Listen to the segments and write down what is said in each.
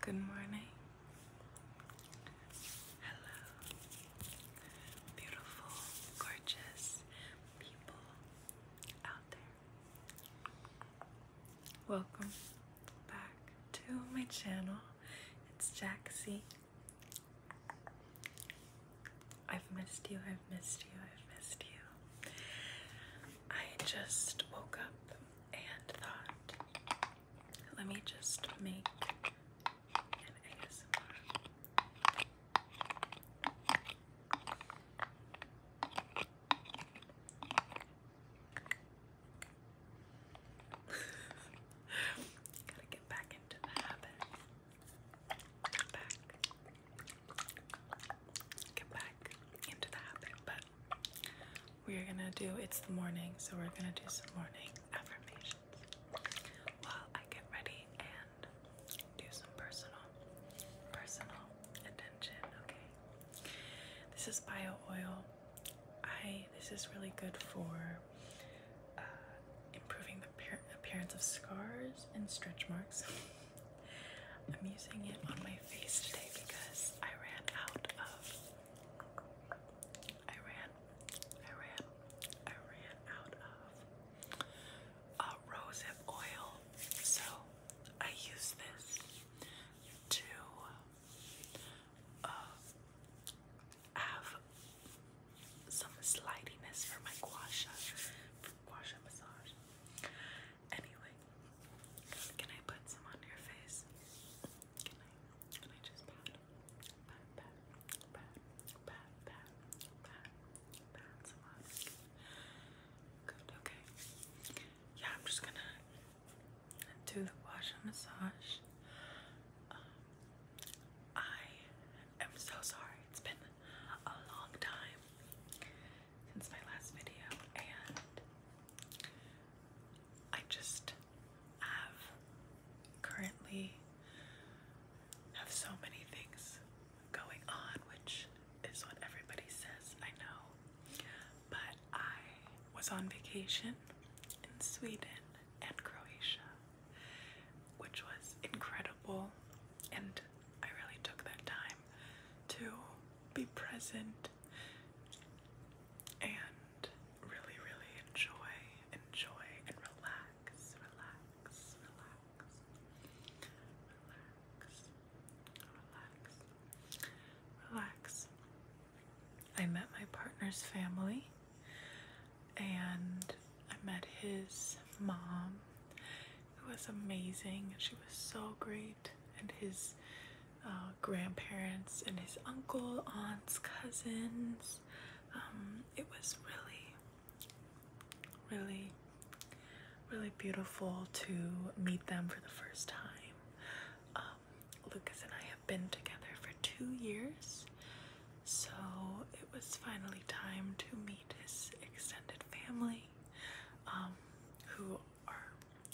Good morning. Hello, beautiful, gorgeous people out there. Welcome back to my channel. It's Jaxie. I've missed you, I've missed you, I've missed you. I just woke up and thought, let me just make an get back into the habit get back, into the habit. But we're gonna do it's the morning, so we're gonna do some morning affirmations while I get ready and do some personal, personal attention. Okay, this is bio oil. I this is really good for. Uh, improving the appearance of scars and stretch marks. I'm using it on my face today because I ran out of. I ran, I ran, I ran out of uh, rosehip oil, so I use this to uh, have some slidiness for my guasha, wash and massage. Anyway, can I put some on your face? Can I? Can I just pat? Pat, pat, pat, pat, pat, pat, some on. Good. Okay. Yeah, I'm just gonna do the wash and massage. Um, I am so sorry. It's been a long time since my last video, and I just have currently have so many things going on, which is what everybody says, I know. But I was on vacation in Sweden and Croatia which was incredible. And I really took that time to be present and really, really enjoy, enjoy, and relax, relax, relax, relax, relax, relax. I met my partner's family and I met his mom it was amazing. She was so great, and his uh, grandparents and his uncle, aunts, cousins. Um, it was really, really, really beautiful to meet them for the first time. Um, Lucas and I have been together for two years, so it was finally time to meet his extended family, um, who are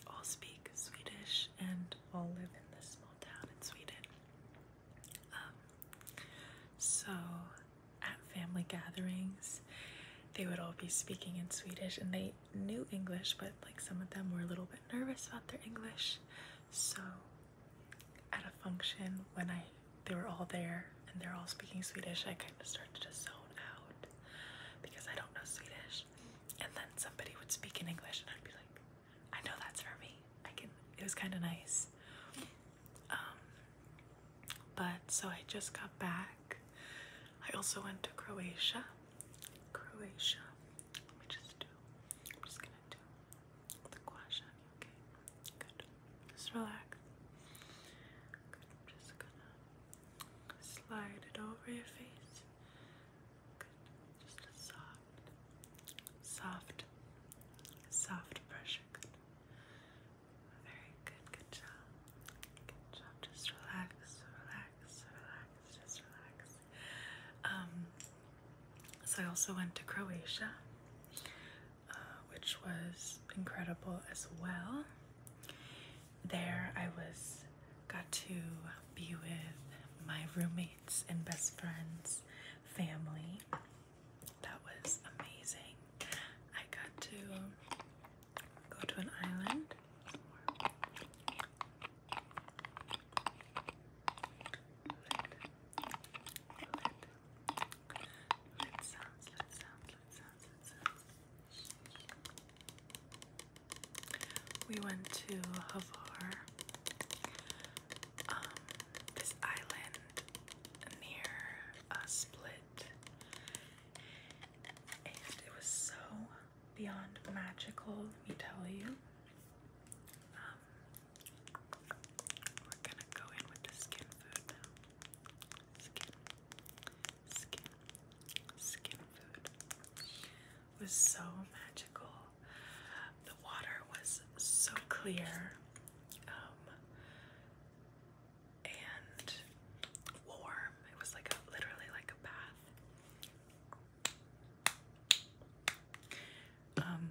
all speak Swedish and all live in this small town in Sweden. Um, so at family gatherings, they would all be speaking in Swedish and they knew English, but like some of them were a little bit nervous about their English. So at a function when I they were all there and they're all speaking Swedish, I kind of started to zone out because I don't know Swedish. And then somebody would speak in English and I'd be like, I know that's for me. I can it was kinda nice. Um but so I just got back. I also went to Croatia. Croatia. Let me just do I'm just gonna do the question. Okay, good. Just relax. Good. just gonna slide it over your face. Good. Just soft, soft, soft pressure. Good. Very good. Good job. Good job. Just relax. Relax. Relax. Just relax. Um. So I also went to Croatia. Uh, which was incredible as well. There, I was got to be with my roommates and best friends, family. That was amazing. I got to go to an island. We went to Havar, um, this island near a split, and it was so beyond magical, let me tell you. Um, we're gonna go in with the skin food now skin, skin, skin food it was so magical. The water was so clear um, and warm. It was like literally like a bath. Um,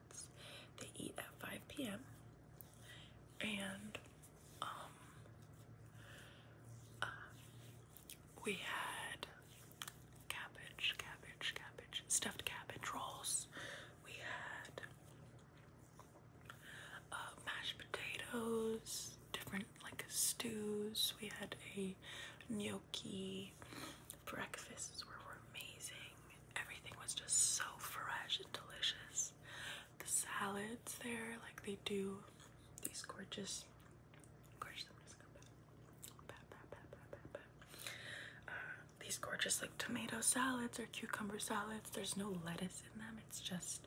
They eat at 5 p.m. and um, uh, we had cabbage, cabbage, cabbage, stuffed cabbage rolls. We had uh, mashed potatoes, different like stews. We had a new karaoke. Breakfasts were, were amazing. Everything was just so fresh and delicious. The salads there, like they do these gorgeous, uh, these gorgeous like tomato salads or cucumber salads. There's no lettuce in them. It's just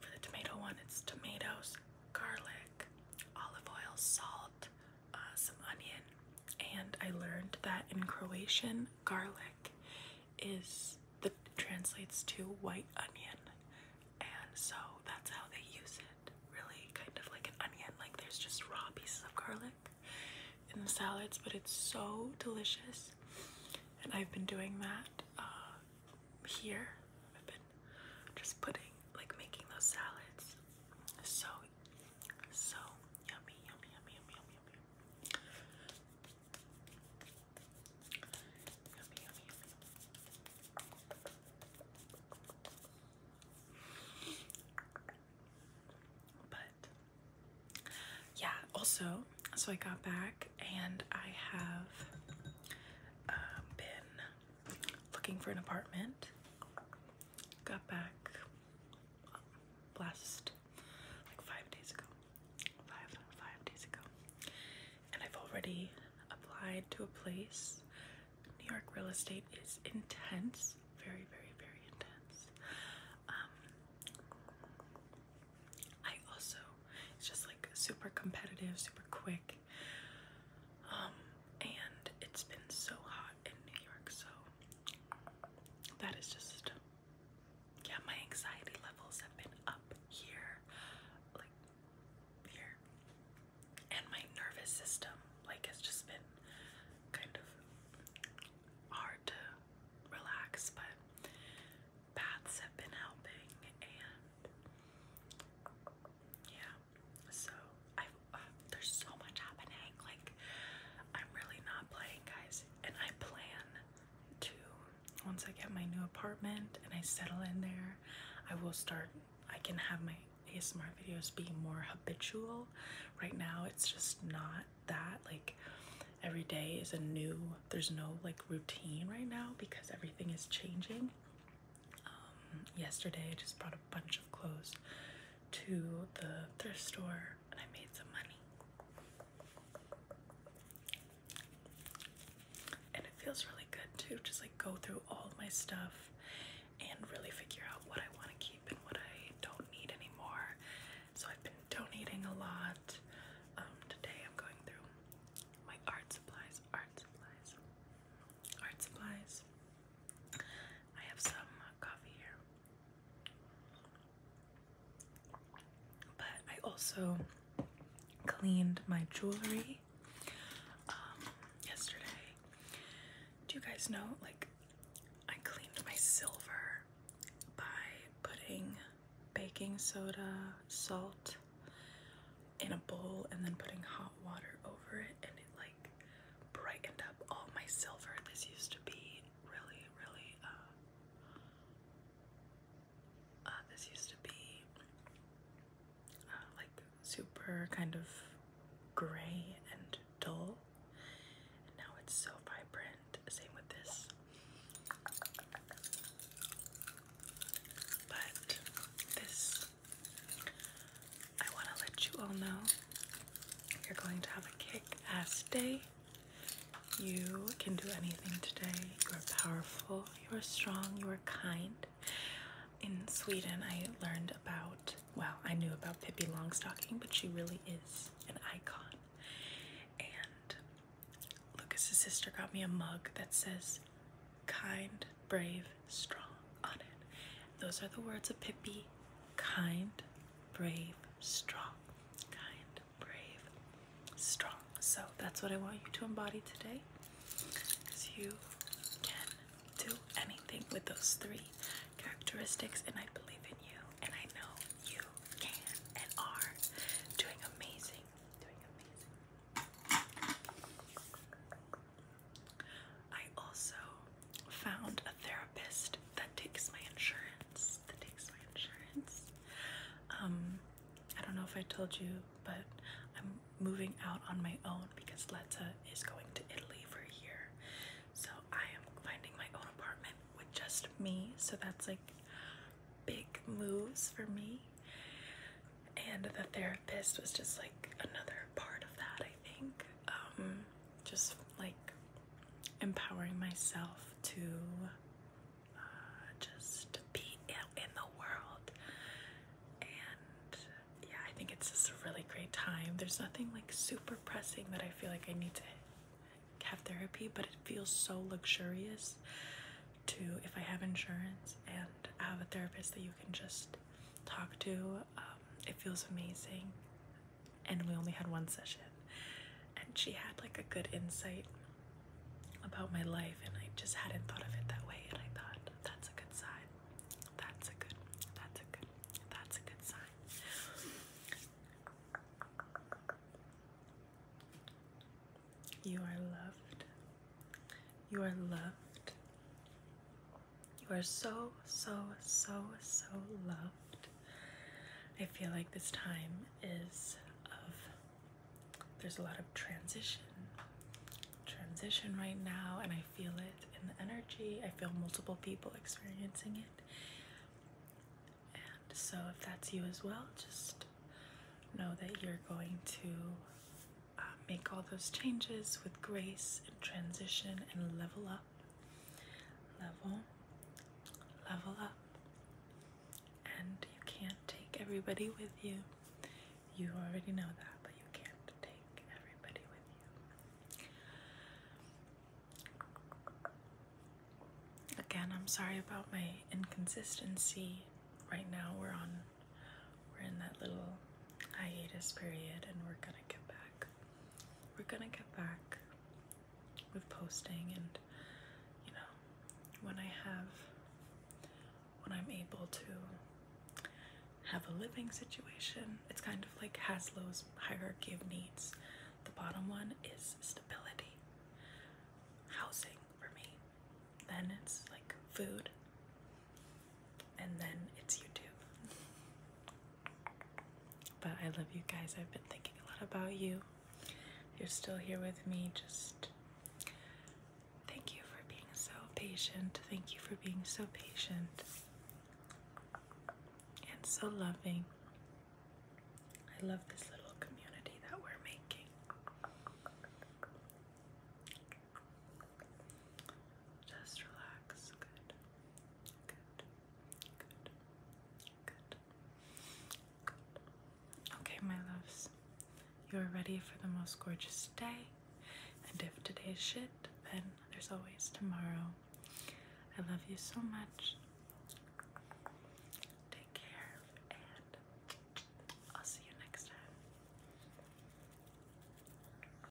for the tomato one. It's tomatoes, garlic, olive oil, salt, uh, some onion, and I learned that in Croatian, garlic is that translates to white onion, and so that's how they use it. Really, kind of like an onion. Like there's just raw pieces of garlic in the salads, but it's so delicious. And I've been doing that uh, here. I've been just putting, like, making those salads. So so yummy, yummy, yummy, yummy, yummy, yummy. Yummy, yummy, yummy. But yeah, also, so I got back and I have uh, been looking for an apartment. Got back last like five days ago. Five five days ago. And I've already applied to a place. New York real estate is intense. Very, very, very intense. Um, I also it's just like super competitive, super quick. Um, and it's been so hot in New York, so that is just yeah, my anxiety levels have been up here, like here, and my nervous system like has just been kind of hard to relax, but baths have been helping, and yeah, so i uh, there's so much happening. Like I'm really not playing, guys, and I plan to once I get my new apartment and I settle in there, I will start. I can have my ASMR videos be more habitual. Right now, it's just not that. Like every day is a new. There's no like routine right now because everything is changing. Um, yesterday, I just brought a bunch of clothes to the thrift store and I made some money. And it feels really good to just like go through all my stuff and really figure out what I want to keep and what I don't need anymore. So I've been donating a lot. Um, today I'm going through my art supplies, art supplies, art supplies. I have some coffee here. But I also cleaned my jewelry um, yesterday. Do you guys know, like, I cleaned my silver by putting baking soda, salt in a bowl, and then putting hot water over it, and it, like, brightened up all my silver. This used to be really, really, uh, uh, this used to be uh, like super kind of gray and dull. And now it's so vibrant. Same with this. But this I want to let you all know you're going to have a kick ass day. You can do anything today. You are powerful, you are strong, you are kind. In Sweden, I learned about, well, I knew about Pippi Longstocking, but she really is an icon. And Lucas's sister got me a mug that says, kind, brave, strong on it. Those are the words of Pippi kind, brave, strong. Kind, brave, strong. So that's what I want you to embody today. Because you can do anything with those three characteristics, and I believe in you, and I know you can and are doing amazing. Doing amazing. I also found a therapist that takes my insurance. That takes my insurance. Um, I don't know if I told you, but I'm moving out on my own because Letta is going to Italy for a year. So I am finding my own apartment with just me. So that's like big moves for me. And the therapist was just like another part of that, I think. Um, just like empowering myself to uh, just be in the world. And yeah, I think it's just a really great time. There's nothing like super pressing that I feel like I need to have therapy, but it feels so luxurious to if I have insurance and I have a therapist that you can just talk to. Um, it feels amazing. And we only had one session. And she had like a good insight about my life, and I just hadn't thought of it that way. And I thought, that's a good sign. That's a good, that's a good, that's a good sign. You are loved. You are loved. You are so, so, so, so loved. I feel like this time is of, there's a lot of transition. Transition right now, and I feel it in the energy. I feel multiple people experiencing it. And so, if that's you as well, just know that you're going to uh, make all those changes with grace and transition and level up level, level up. And you can't take everybody with you. You already know that, but you can't take everybody with you. Again, I'm sorry about my inconsistency. Right now we're on we're in that little hiatus period and we're gonna get back we're gonna get back with posting and you know when I have when I'm able to have a living situation. It's kind of like Haslow's hierarchy of needs. The bottom one is stability. Housing for me. Then it's like food, and then it's YouTube. But I love you guys. I've been thinking a lot about you. you're still here with me, just thank you for being so patient. Thank you for being so patient and so loving. I love this little community that we're making. Just relax. Good good, good. Okay, my loves, you are ready for the most gorgeous day. And if today's shit, then there's always tomorrow. I love you so much. Take care, and I'll see you next time.